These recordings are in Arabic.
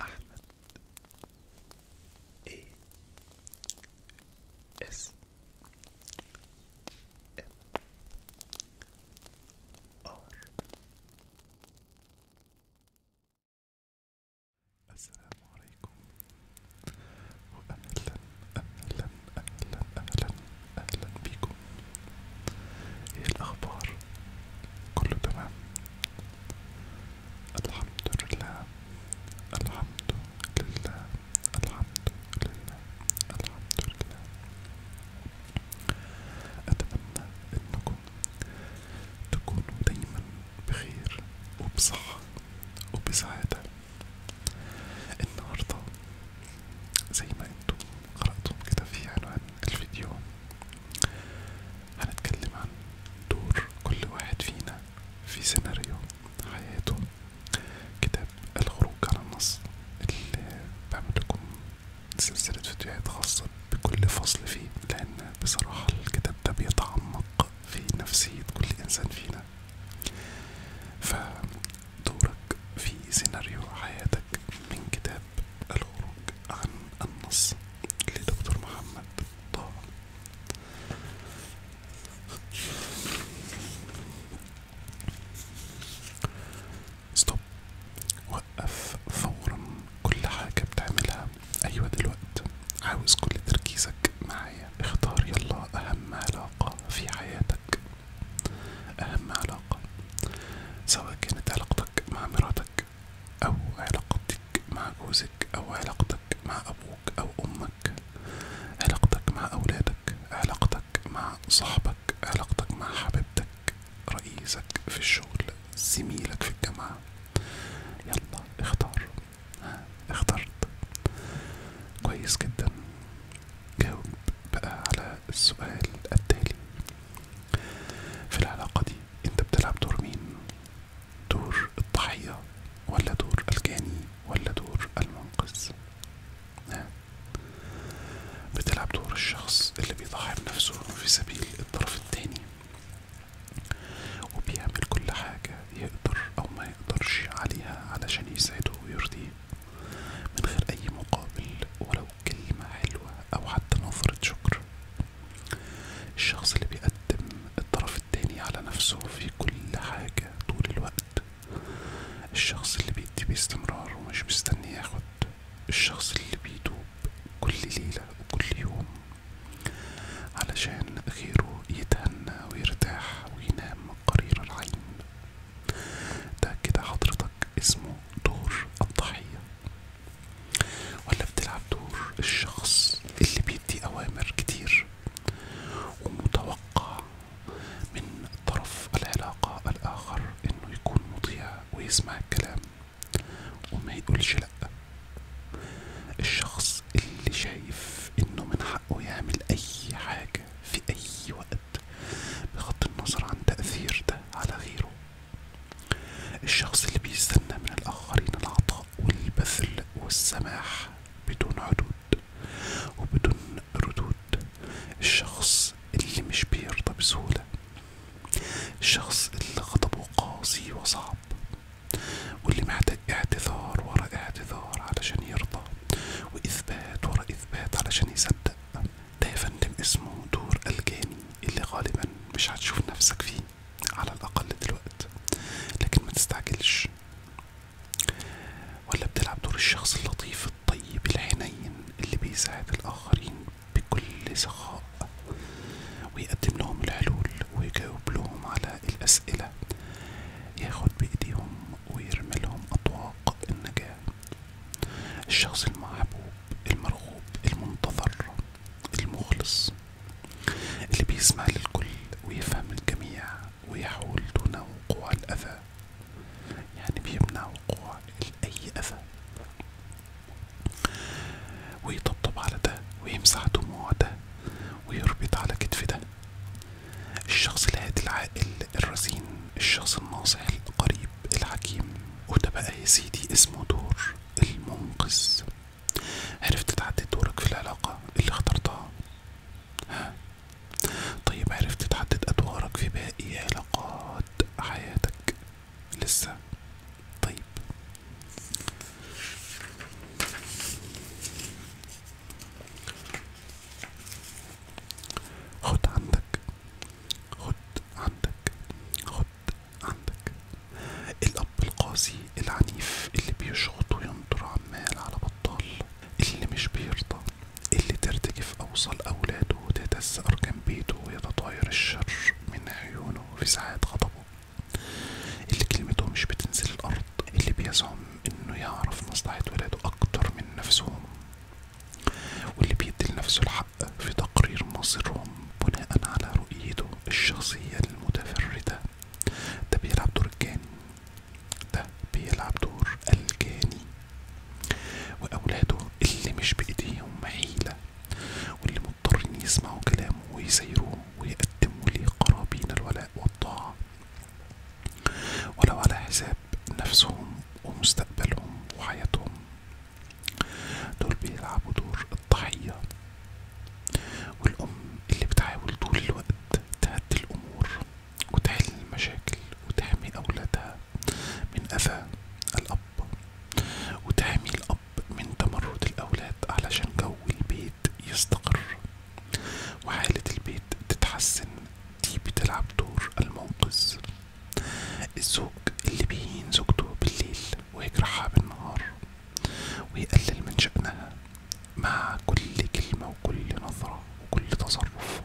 أحمد A S M R السلام عليكم وأهلا أهلا أهلا أهلا أهلا بكم إيه الأخبار؟ كله تمام الحمد لله الحمد لله الحمد لله الحمد لله أتمنى أنكم تكونوا دايما بخير وبصحة وبسعادة النهاردة زي ما انتم قرأتم كده في عنوان الفيديو هنتكلم عن دور كل واحد فينا في سيناريو حياته كتاب الخروج على النص اللي بعمل لكم سلسلة فيديوهات خاصة بكل فصل فيه لأن بصراحة الكتاب ده بيتعمق في نفسية كل إنسان فينا فدورك في سيناريو حياتك من كتاب العروج عن النص لدكتور محمد طه ستوب وقف فورا كل حاجة بتعملها أيوة دلوقتي عاوز كل تركيزك معايا اختار يلا أهم علاقة في حياتك أهم علاقة سواء كانت علاقتك مع مراتك أو علاقتك مع جوزك أو علاقتك مع أبوك أو أمك علاقتك مع أولادك علاقتك مع صاحبك علاقتك مع حبيبتك رئيسك في الشغل زميلك في الجامعة يلا اختار اخترت كويس جدا جاوب بقى على السؤال التالي في العلاقة دي انت بتلعب دور مين دور الضحية ولا دور الجاني ولا دور المنقذ بتلعب دور الشخص اللي بيضحي بنفسه في سبيل الطرف التاني وبيعمل كل حاجة يقدر أو ما يقدرش عليها علشان يسعده ويرضيه من غير أي مقابل ولو كلمة حلوة أو حتى نظرة شكر الشخص اللي بيقدم الطرف التاني على نفسه في كل حاجة طول الوقت الشخص اللي بيدي باستمرار ومش مستني ياخد الشخص اللي بيدوب كل ليلة وكل يوم علشان غيره يتهنى ويرتاح وينام قرير العين ده كده حضرتك اسمه دور الضحية ولا بتلعب دور الشخص اللي بيدي اوامر كتير ومتوقع من طرف العلاقة الاخر انه يكون مطيع ويسمع الكلام وما يقولش لأ الشخص اللي شايف انه من حقه يعمل اي حاجة في اي وقت بغض النظر عن تأثير ده على غيره الشخص اللي بيستنى من الآخرين العطاء والبذل والسماح بدون حدود وبدون ردود الشخص اللي مش بيرضى بسهولة الشخص اللي غضبه قاسي وصعب واللي محتاج اعتذار ورا اعتذار علشان يرضى وإثبات ورا إثبات علشان يصدق ده يا فندم اسمه دور الجاني اللي غالبا مش هتشوف نفسك فيه على الأقل دلوقت لكن ما تستعجلش ولا بتلعب دور الشخص اللطيف الطيب الحنين اللي بيساعد الآخرين بكل سخاء ويقدم لهم الحلول ويجاوب لهم على الأسئلة ياخد بإيديهم ويرمي لهم أطواق النجاة الشخص المحبوب المرغوب المنتظر المخلص اللي بيسمع للكل ويفهم الجميع ويحول دون وقوع الأذى يعني بيمنع وقوع أي أذى ويطبطب على ده ويمسح دموع ده ويربط على كتف ده الشخص الهادي العاقل الرزين الشخص الناصح القريب الحكيم وده بقى يا سيدي اسمه دور المنقذ عرفت تتعدي دورك في العلاقة اللي اخترتها ها طيب عرفت تحدد أدوارك في باقي علاقات حياتك لسه طيب خد عندك خد عندك خد عندك الأب القاسي العنيف اللي بيشخط وينطر عمال على بطال اللي مش بيرضى اللي ترتجف أوصل أولاده وتهتز أركان بيته ويتطاير الشر من عيونه في ساعات غضبه اللي كلمته مش بتنزل الأرض اللي بيزعم إنه يعرف مصلحة ولاده أكتر من نفسهم واللي بيدي لنفسه الحق في تقرير مصيرهم بناء على رؤيته الشخصية المتفردة ده بيلعب دور الجاني ده بيلعب دور الجاني وأولاده اللي مش بإيديهم حيلة واللي مضطرين يسمعوا كلامه ويسيروه ويقدموا ليه قرابين الولاء والطاعة ولو على حساب نفسهم ومستقبلهم وحياتهم دول بيلعبوا دور الضحية والأم اللي بتحاول طول الوقت تهدي الأمور وتحل المشاكل وتحمي أولادها من أذى الأب وتحمي الأب من تمرد الأولاد علشان جو البيت يستقر وحالة البيت تتحسن دي بتلعب دور المنقذ الزوج اللي بيهين زوجته بالليل ويجرحها بالنهار ويقلل من شأنها مع كل كلمة وكل نظرة وكل تصرف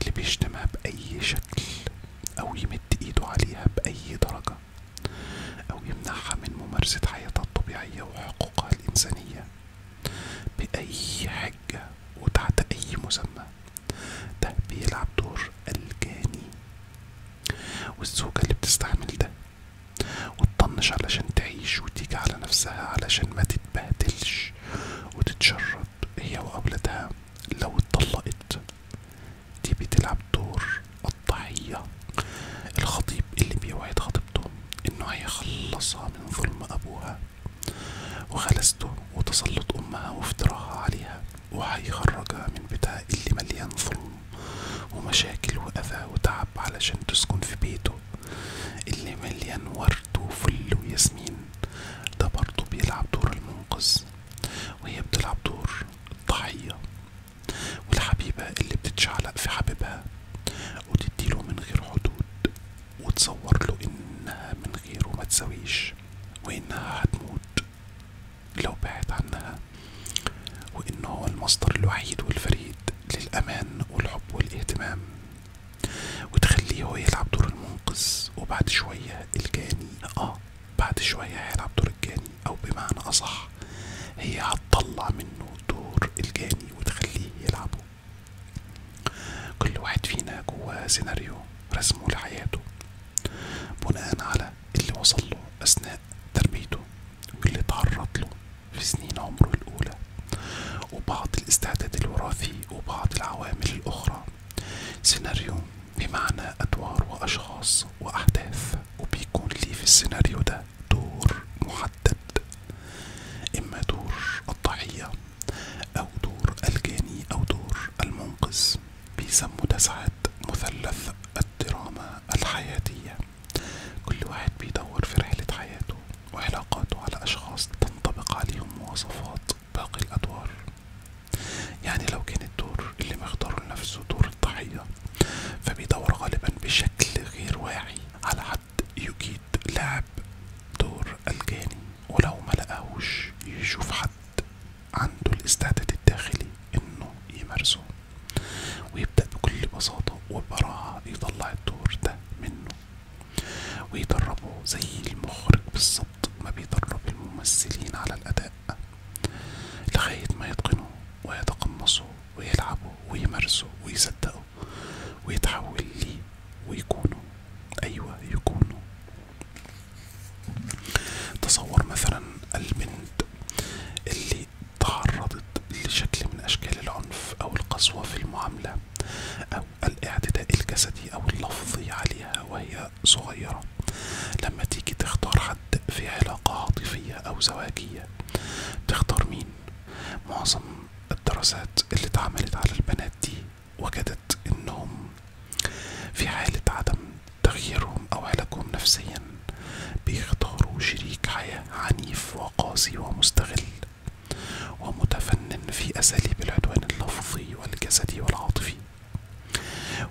اللي بيشتمها بأي شكل أو يمد إيده عليها بأي درجة أو يمنعها من ممارسة حياتها الطبيعية وحقوقها الإنسانية بأي حجة وتحت أي مسمى ده بيلعب دور الجاني والزوجة اللي بتستحمل ده وتطنش علشان تعيش وتيجي على نفسها علشان ما تتبهدلش وتتشرد هي وأولادها لو اتطلقت دي بتلعب دور الضحية الخطيب اللي بيوعد خطيبته انه هيخلصها من ظلم ابوها وغلسته وتسلط امها وافتراها عليها وهيخرجها من بيتها اللي مليان ظلم ومشاكل وأذى وتعب علشان تسكن في بيته اللي مليان ورد وفل وياسمين ده برضه بيلعب دور المنقذ وهي بتلعب دور الضحية والحبيبة اللي بتتشعلق في حبيبها وتديله من غير حدود وتصور له إنها من غيره متسويش وإنها هتموت لو بعد عنها وإنه هو المصدر الوحيد والفريد للأمان والحب والاهتمام وتخليه هو يلعب دور المنقذ وبعد شوية الجاني اه بعد شوية هيلعب دور الجاني أو بمعنى أصح هي هتطلع منه دور الجاني وتخليه يلعبه كل واحد فينا جواه سيناريو رسمه لحياته بناء على اللي وصل له أثناء تربيته واللي تعرض له في سنين عمره الأولى وبعض الاستعداد الوراثي وبعض العوامل الأخرى سيناريو بمعنى أدوار وأشخاص وأحداث وبيكون لي في السيناريو ده دور محدد إما دور الضحية أو دور الجاني أو دور المنقذ بيسموا ده ساعات مثلث الدراما الحياتية كل واحد بيدور في رحلة حياته وعلاقاته على أشخاص تنطبق عليهم مواصفات باقي الأدوار يعني لو كان الدور اللي مختاره لنفسه دور الضحية فبيدور غالبا بشكل غير واعي على حد يجيد لعب دور الجاني ولو ملقاهوش يشوف حد عنده الاستعداد الداخلي انه يمارسه ويبدأ بكل بساطة وبراعة يطلع الدور ده منه ويدربه زي المخرج بالظبط ما بيدرب الممثلين على الأداء لغاية ما يتقنه ويتقمصه ويلعبه ويمارسه ويصدقه ويتحول ليه ويكونه أيوة يكونه تصور مثلا البنت اللي تعرضت لشكل من أشكال العنف أو القسوة في المعاملة أو الاعتداء الجسدي أو اللفظي عليها وهي صغيرة لما تيجي تختار حد في علاقة عاطفية أو زواجية تختار مين؟ معظم الدراسات اللي اتعملت على البنات دي وجدت إنهم في حالة عدم تغييرهم أو علاجهم نفسيا بيختاروا شريك حياة عنيف وقاسي ومستغل ومتفنن في أساليب العدوان اللفظي والجسدي والعاطفي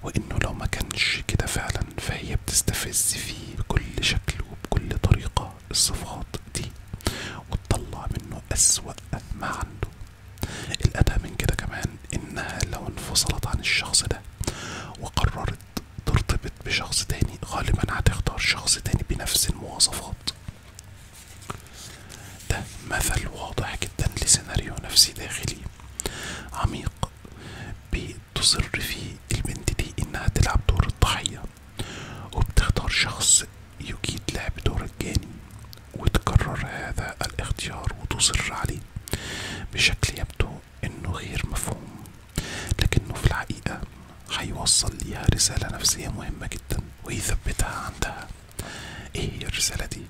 وإنه لو ما كانش كده فعلا فهي بتستفز فيه بكل شكل وبكل طريقة الصفات دي وتطلع منه أسوأ ما عنده الادهى من كده كمان إنها لو انفصلت عن الشخص ده وقررت ترتبط بشخص تاني غالبا هتختار شخص تاني بنفس المواصفات ده مثل واضح جدا لسيناريو نفسي داخلي عميق بتصر فيه البنت دي انها تلعب دور الضحية وبتختار شخص يجيد لعب دور الجاني وتكرر هذا الاختيار وتصر عليه بشكل يبدو انه غير مفهوم لكنه في الحقيقة هيوصل ليها رسالة نفسية مهمة جدا ويثبتها عندها ايه هي الرسالة دي؟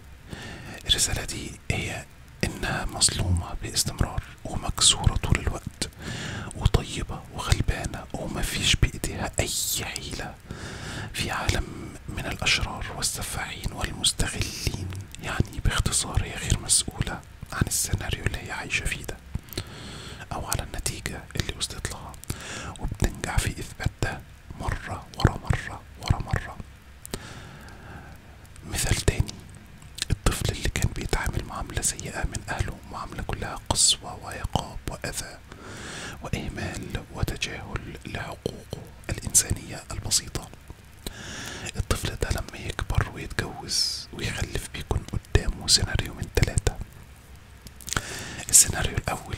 الرسالة دي هي انها مظلومة باستمرار ومكسورة طول الوقت وطيبة وغلبانة ومفيش بايديها اي حيلة في عالم من الاشرار والسفاحين والمستغلين يعني باختصار هي غير مسؤولة عن السيناريو اللي هي عايشة فيه ده أو على النتيجة اللي وصلت لها وبتنجح في إثبات ده مرة ورا مرة ورا مرة مثال تاني الطفل اللي كان بيتعامل معاملة سيئة من أهله معاملة كلها قسوة وعقاب وأذى وإهمال وتجاهل لحقوقه الإنسانية البسيطة الطفل ده لما يكبر ويتجوز ويخلف بيكون قدامه سيناريو من تلاتة السيناريو الأول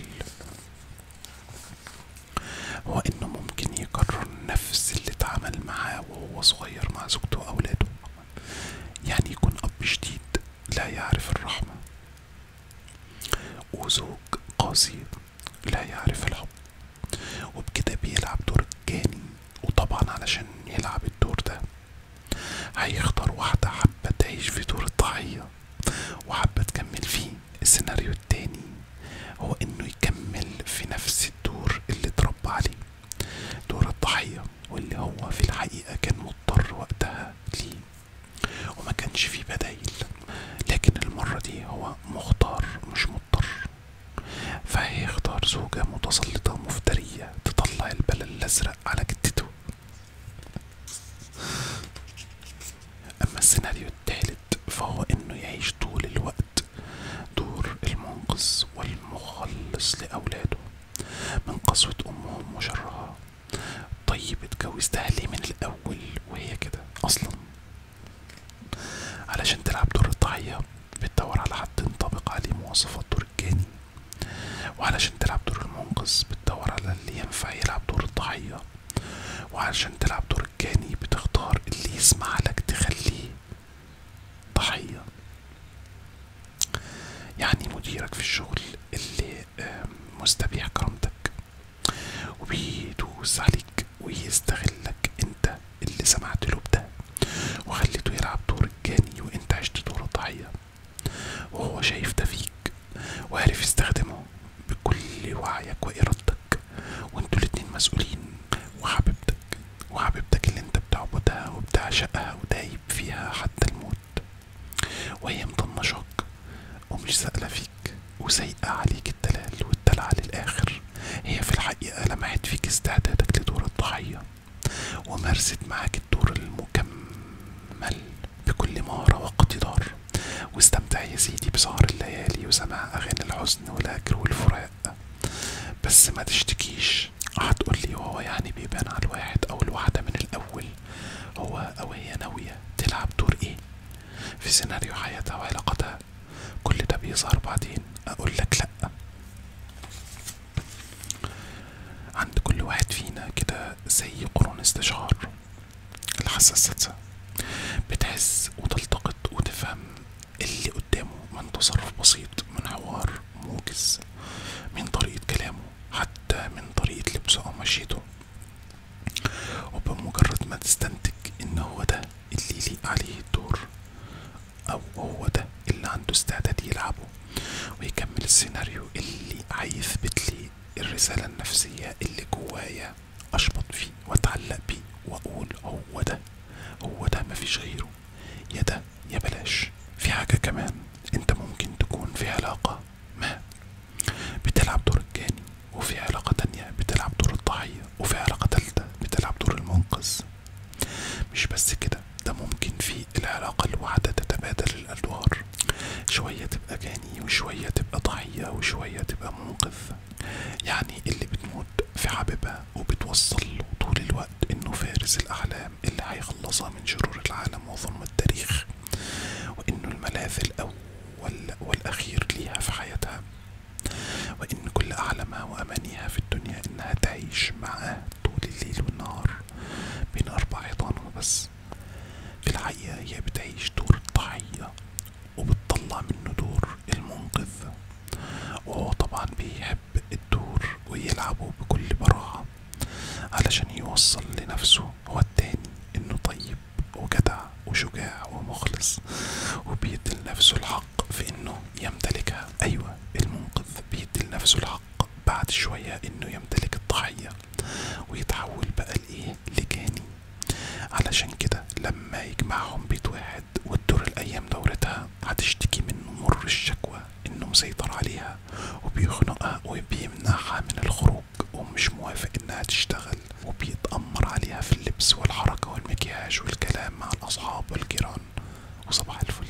هو إنه ممكن يكرر نفس اللي اتعمل معاه وهو صغير مع زوجته وأولاده يعني يكون أب شديد لا يعرف الرحمة وزوج قاسي لا يعرف الحب وبكده بيلعب دور الجاني وطبعا علشان يلعب الدور ده هيختار واحدة حابة تعيش في دور الضحية وحابة تكمل فيه السيناريو التاني هو انه يكمل في نفس الدور اللي اتربى عليه دور الضحية واللي هو في الحقيقة كان مضطر وقتها ليه وما كانش فيه بدايل لكن المرة دي هو مختار مش مضطر مضطر فهي اختار زوجة متسلطة مفترية تطلع البلل الأزرق على جدته أما السيناريو التالت فهو إنه يعيش طول الوقت دور المنقذ والمخلص لأولاده من قسوة أمهم وشرها طيب اتجوزتها ليه من الأول وهي كده أصلا علشان تلعب دور الضحية بتدور على حد ينطبق عليه مواصفات دور الجاني وعلشان تلعب دور المنقذ بتدور على اللي ينفع يلعب دور الضحية وعلشان تلعب دور الجاني بتختار اللي يسمع لك تخليه ضحية يعني مديرك في الشغل اللي مستبيح كرامتك وبيدوس عليك ويستغلك انت اللي سمعت بده وخليته يلعب دور الجاني وانت عشت دور الضحية وهو شايف ده فيك وعارف يستخدمه بكل وعيك وإرادتك وانتوا الاتنين مسؤولين وحبيبتك وحبيبتك اللي انت بتعبدها وبتعشقها ودايب فيها حتى الموت وهي مطنشاك ومش سائلة فيك وسايقة عليك الدلال والدلع للآخر هي في الحقيقة لمحت فيك استعدادك لدور الضحية ومارست معاك الدور المكمل بكل مهارة واقتدار واستمتع يا سيدي بسهر الليالي وسماع أغاني الحزن والهجر والفراق بس ما تشتكيش هتقولي وهو يعني بيبان على الواحد أو الواحدة من الأول هو أو هي ناوية تلعب دور إيه في سيناريو حياتها وعلاقتها كل ده بيظهر بعدين أقولك لأ عند كل واحد فينا كده زي قرون استشعار الحاسة السادسة بتحس وتلتقط وتفهم اللي قدامه من تصرف بسيط من حوار موجز من طريقة كلامه حتى من طريقة لبسه أو مشيته وبمجرد ما تستنتج إن هو ده اللي يليق عليه الدور أو هو ده اللي عنده استعداد يلعبه ويكمل السيناريو اللي عيثبتلي الرسالة النفسية اللي جوايا أشبط فيه وأتعلق بيه وأقول هو ده هو ده مفيش غيره يا ده يا بلاش في حاجة كمان أنت ممكن تكون في علاقة ما بتلعب دور الجاني وفي علاقة تانية بتلعب دور الضحية وفي علاقة تالتة بتلعب دور المنقذ مش بس كده ده ممكن في العلاقة الواحدة تتبادل الأدوار شوية تبقى جاني وشوية تبقى ضحية وشوية تبقى منقذ يعني اللي بتموت في حبيبها وبتوصل له طول الوقت انه فارس الأحلام اللي هيخلصها من شرور العالم وظلم التاريخ وانه الملاذ الأول والأخير ليها في حياتها وإن كل أحلامها وأمانيها في الدنيا إنها تعيش مع معاه طول الليل والنهار بين أربع حيطانها بس في الحقيقة هي بتعيش دور الضحية وبتطلع منه دور المنقذ وهو طبعا بيحب الدور ويلعبه بكل براعة علشان يوصل لنفسه هو التاني انه طيب وجدع وشجاع ومخلص وبيدي لنفسه الحق الحق في انه يمتلكها ايوه المنقذ بيدي لنفسه الحق بعد شوية انه يمتلك الضحية ويتحول بقى لايه لجاني علشان كده لما يجمعهم بيت واحد وتدور الايام دورتها هتشتكي منه مر الشكوى انه مسيطر عليها وبيخنقها وبيمنعها من الخروج ومش موافق انها تشتغل وبيتأمر عليها في اللبس والحركة والمكياج والكلام مع الاصحاب والجيران وصباح الفل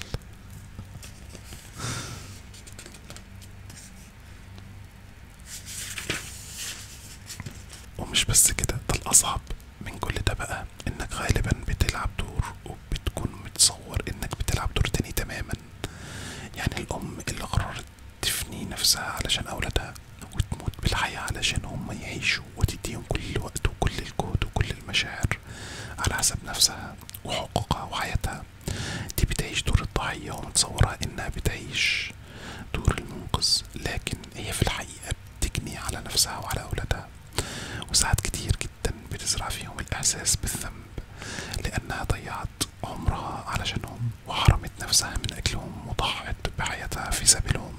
ومش بس كده ده الأصعب من كل ده بقى إنك غالبا بتلعب دور وبتكون متصور إنك بتلعب دور تاني تماما يعني الأم اللي قررت تفني نفسها علشان أولادها وتموت بالحياة علشان هم يعيشوا وتديهم كل الوقت وكل الجهد وكل المشاعر على حسب نفسها وحقوقها وحياتها دي بتعيش دور الضحية ومتصورها انها بتعيش دور المنقذ لكن هي في الحقيقة بتجني على نفسها وعلى اولادها وساعات كتير جدا بتزرع فيهم الاحساس بالذنب لانها ضيعت عمرها علشانهم وحرمت نفسها من اجلهم وضحت بحياتها في سبيلهم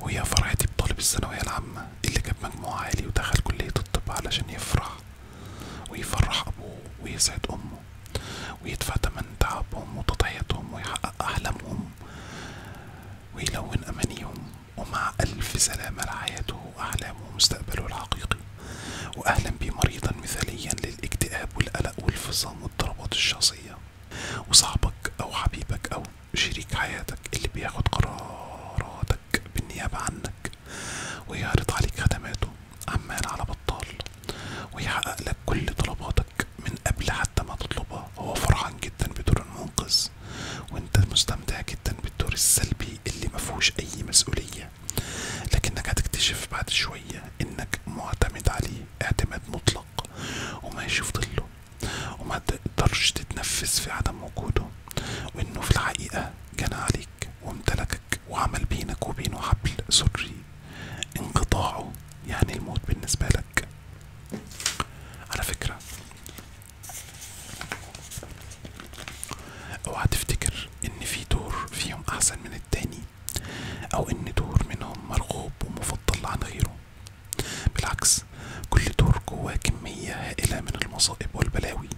وهي فرحتي بطالب الثانوية العامة اللي جاب مجموع عالي ودخل كلية الطب علشان يفرح ويفرح أبوه ويسعد أمه ويدفع تمن تعبهم وتضحيتهم ويحقق أحلامهم ويلون أمانيهم ومع ألف سلامة لحياته وأحلامه ومستقبله الحقيقي وأهلا بيه مريضا مثاليا للاكتئاب والقلق والفصام والضربات الشخصية وصاحبك أو حبيبك أو شريك حياتك اللي بياخد قرارات عبادتك بالنيابة عنك ويعرض عليك خدماته عمال على بطال ويحقق لك كل طلباتك من قبل حتى ما تطلبها هو فرحان جدا بدور المنقذ وانت مستمتع جدا بالدور السلبي اللي مفهوش اي مسؤولية لكنك هتكتشف بعد شوية انك معتمد عليه اعتماد مطلق وماشي في ظله وما تقدرش تتنفس في عدم وجوده وانه في الحقيقة جنى عليك وامتلكك وعمل بينك وبينه حبل سري انقطاعه يعني الموت بالنسبة لك على فكرة اوعى تفتكر ان في دور فيهم احسن من التاني او ان دور منهم مرغوب ومفضل عن غيره بالعكس كل دور جواه كمية هائلة من المصائب والبلاوي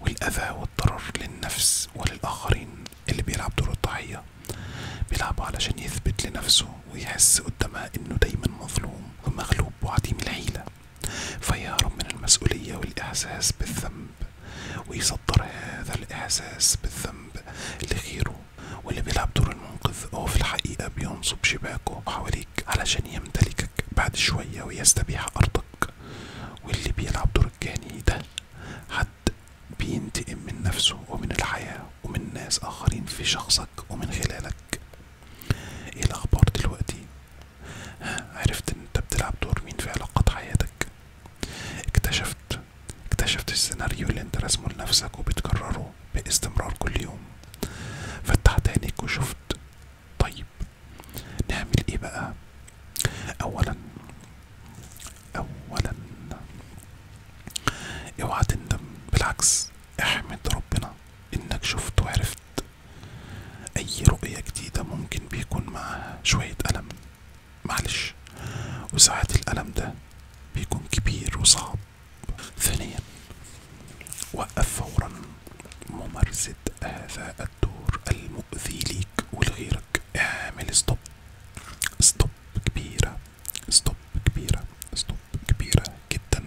والأذى والضرر للنفس وللآخرين اللي بيلعب دور الضحية بيلعب علشان يثبت لنفسه ويحس قدامها إنه دايما مظلوم ومغلوب وعديم الحيلة فيهرب من المسؤولية والإحساس بالذنب ويصدر هذا الإحساس بالذنب لغيره واللي بيلعب دور المنقذ هو في الحقيقة بينصب شباكه حوالين عليك علشان يمتلكك بعد شوية ويستبيح أرضك واللي بيلعب دور الجاني ده حد بينتقم من نفسه ومن الحياة ومن ناس آخرين في شخصك ومن خلالك ايه الأخبار دلوقتي؟ عرفت ان انت بتلعب دور مين في علاقات حياتك اكتشفت اكتشفت السيناريو اللي انت رسمه لنفسك وبتكرره باستمرار كل يوم فتحت عينيك وشفت طيب نعمل ايه بقى اولا اولا اوعى تندم بالعكس احمد ربنا انك شفت وعرفت اي رؤية جديدة ممكن بيكون معاها شوية الم معلش وساعات الالم ده بيكون كبير وصعب ثانيا وقف فورا ممارسة هذا الدور المؤذي ليك ولغيرك اعمل ستوب ستوب كبيرة ستوب كبيرة ستوب كبيرة جدا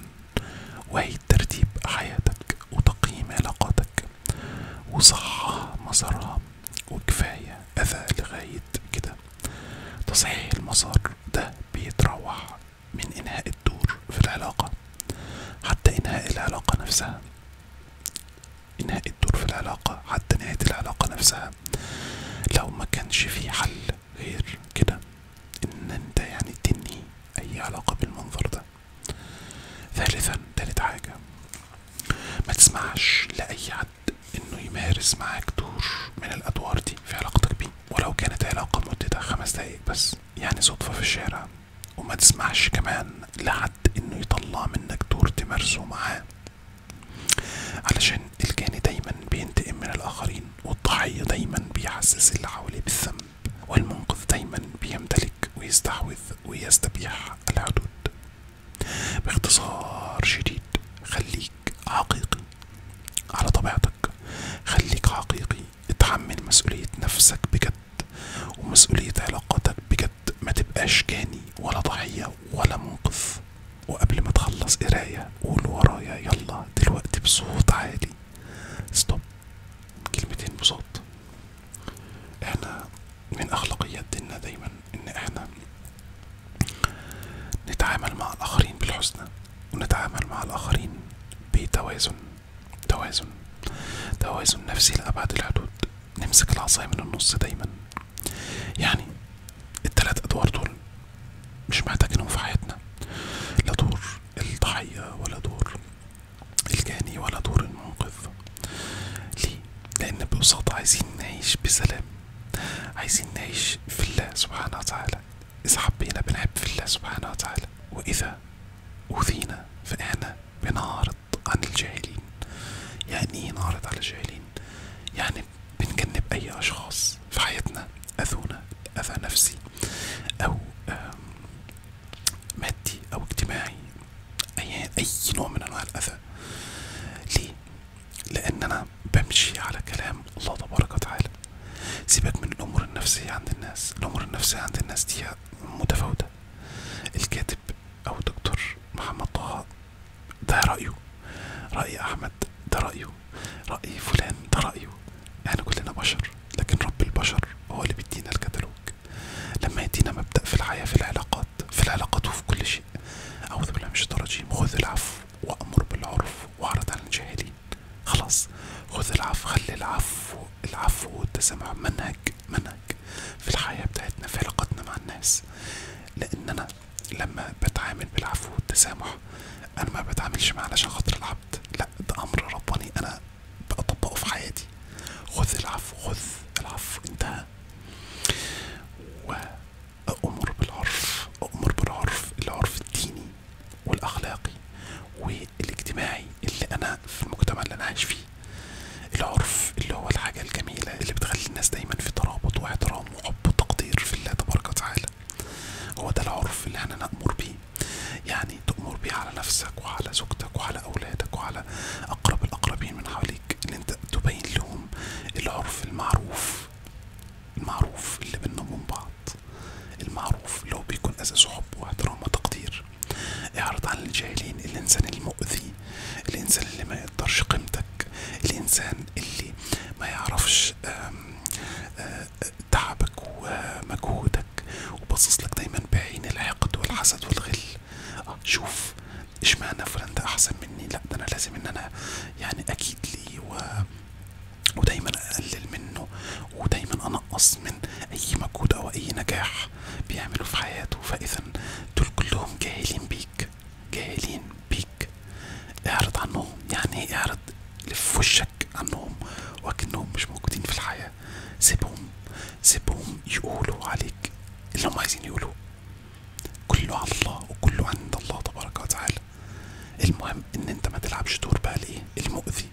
وهي ترتيب حياتك وتقييم علاقاتك وصحة مسارها وكفاية أذى لغاية كده تصحيح المسار ده بيتروح من إنهاء الدور في العلاقة حتى إنهاء العلاقة نفسها إنهاء الدور في العلاقة حتى نهاية العلاقة نفسها لو ما كانش في حل غير كده إن أنت يعني تنهي أي علاقة بالمنظر ده ثالثا تالت حاجة ما تسمعش لأي حد إنه يمارس معاك دور من الأدوار دي في علاقتك بيه ولو كانت علاقة مدتها خمس دقايق بس يعني صدفة في الشارع وما تسمحش كمان لحد انه يطلع منك دور تمارسه معاه علشان الجاني دايما بينتقم من الاخرين والضحية دايما بيحسس اللي حواليه بالذنب والمنقذ دايما بيمتلك ويستحوذ ويستبيح الحدود باختصار شديد خليك حقيقي على طبيعتك خليك حقيقي اتحمل مسؤولية نفسك بجد ومسؤولية علاقاتك بجد ما تبقاش جاني ولا ضحية ولا منقذ وقبل ما تخلص قراية قول ورايا يلا دلوقتي بصوت عالي ستوب كلمتين بصوت احنا من اخلاقيات ديننا دايما ان احنا نتعامل مع الاخرين بالحسنى ونتعامل مع الاخرين بتوازن توازن توازن نفسي لأبعد الحدود نمسك العصاية من النص دايما يعني التلات أدوار دول مش محتاجينهم في حياتنا لا دور الضحية ولا دور الجاني ولا دور المنقذ ليه؟ لأن ببساطة عايزين نعيش بسلام عايزين نعيش في الله سبحانه وتعالى إذا حبينا بنحب في الله سبحانه وتعالى وإذا أوذينا فإحنا بنعرض عن الجاهلين يعني إيه نعرض على الجاهلين؟ يعني بنجنب أي أشخاص في حياتنا أذونا أذى نفسي أو مادي أو اجتماعي أي, أي نوع من أنواع الأذى ليه؟ لأن أنا بمشي على كلام الله تبارك وتعالى سيبك من الأمور النفسية عند الناس الأمور النفسية عند الناس دي متفاوتة الكاتب أو دكتور محمد طه ده رأيه رأي أحمد ده رأيه رأي فلان ده رأيه احنا كلنا بشر لكن رب البشر هو اللي بيدينا الكتالوج لما يدينا مبدأ في الحياة في العلاقات في العلاقات وفي كل شيء أعوذ بالله من الشيطان الرجيم خذ العفو وأمر بالعرف وأعرض عن الجاهلين خلاص خذ العفو خلي العفو العفو والتسامح منهج منهج في الحياة بتاعتنا في علاقتنا مع الناس لأن أنا لما بتعامل بالعفو والتسامح أنا ما بتعاملش معاه علشان خاطر العبد لأ ده أمر رباني أنا بطبقه في حياتي خذ العفو خذ العفو انتهى وأؤمر بالعرف أؤمر بالعرف العرف الديني والاخلاقي والاجتماعي اللي انا في المجتمع اللي انا عايش فيه العرف اللي هو الحاجه الجميله اللي بتخلي الناس دايما في ترابط واحترام وحب وتقدير في الله تبارك وتعالى هو ده العرف اللي احنا نامر بيه يعني تامر بيه على نفسك وعلى زوجتك وعلى اولادك وعلى اقرب الاقربين من حواليك ان انت تبين لهم العرف المعروف المعروف اللي بيننا وبين بعض المعروف اللي هو بيكون اساسه حب واحترام وتقدير اعرض عن الجاهلين الإنسان المؤذي الإنسان اللي ما يقدرش قيمتك الإنسان اللي ما يعرفش آه، تعبك ومجهودك وباصصلك دايما بعين الحقد والحسد والغل آه شوف اشمعنى فلان ده احسن مني لا ده انا لازم ان انا يعني اكيد ليه و... ودايما اقلل منه ودايما انقص من اي مجهود او اي نجاح بيعملوا في حياته فاذا دول كلهم جاهلين بيك جاهلين بيك اعرض عنهم يعني إيه اعرض لف وشك عنهم وكأنهم مش موجودين في الحياة سيبهم سيبهم يقولوا عليك اللي هم عايزين يقولوه كله على الله وكله عند الله تبارك وتعالى المهم ان انت ما تلعبش دور بقى الايه المؤذي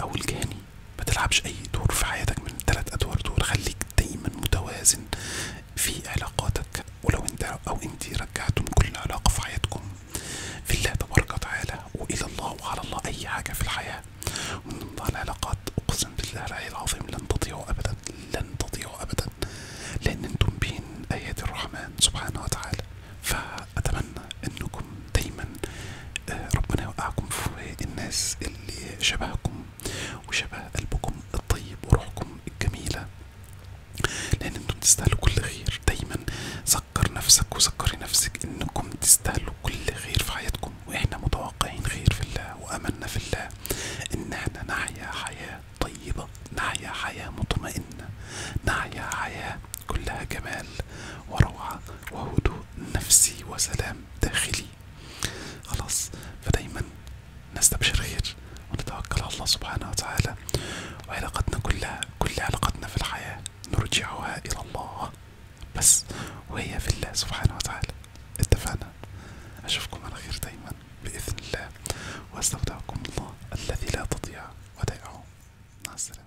او الجاني ما تلعبش اي دور في حياتك من التلات ادوار دول خليك دايما متوازن في علاقاتك ولو انت او انت رجعتم كل علاقه في حياتكم في الله تبارك وتعالى والى الله وعلى الله اي حاجه في الحياه ومن ضمن العلاقات اقسم بالله العلي العظيم لن تضيعوا ابدا لن تضيعوا ابدا لان انتم بين ايات الرحمن سبحانه وتعالى ف اتمنى أنكم دايما آه، ربنا يوقعكم في الناس اللي شبهكم وشبه قلبكم الطيب وروحكم الجميلة لأن انتم تستاهلوا كل خير دايما سكر نفسك وسكري نفسك انكم تستاهلوا كل خير في حياتكم واحنا متوقعين خير في الله واملنا في الله ان احنا نحيا حياة طيبة نحيا حياة مطمئنة نحيا حياة كلها جمال وروعة وهدوء نفسي وسلام داخلي خلاص فدايما نستبشر خير ونتوكل على الله سبحانه وتعالى وعلاقتنا كلها كل علاقتنا في الحياة نرجعها إلى الله بس وهي في الله سبحانه وتعالى اتفقنا أشوفكم على خير دايما بإذن الله واستودعكم الله الذي لا تضيع ودائعه مع السلامة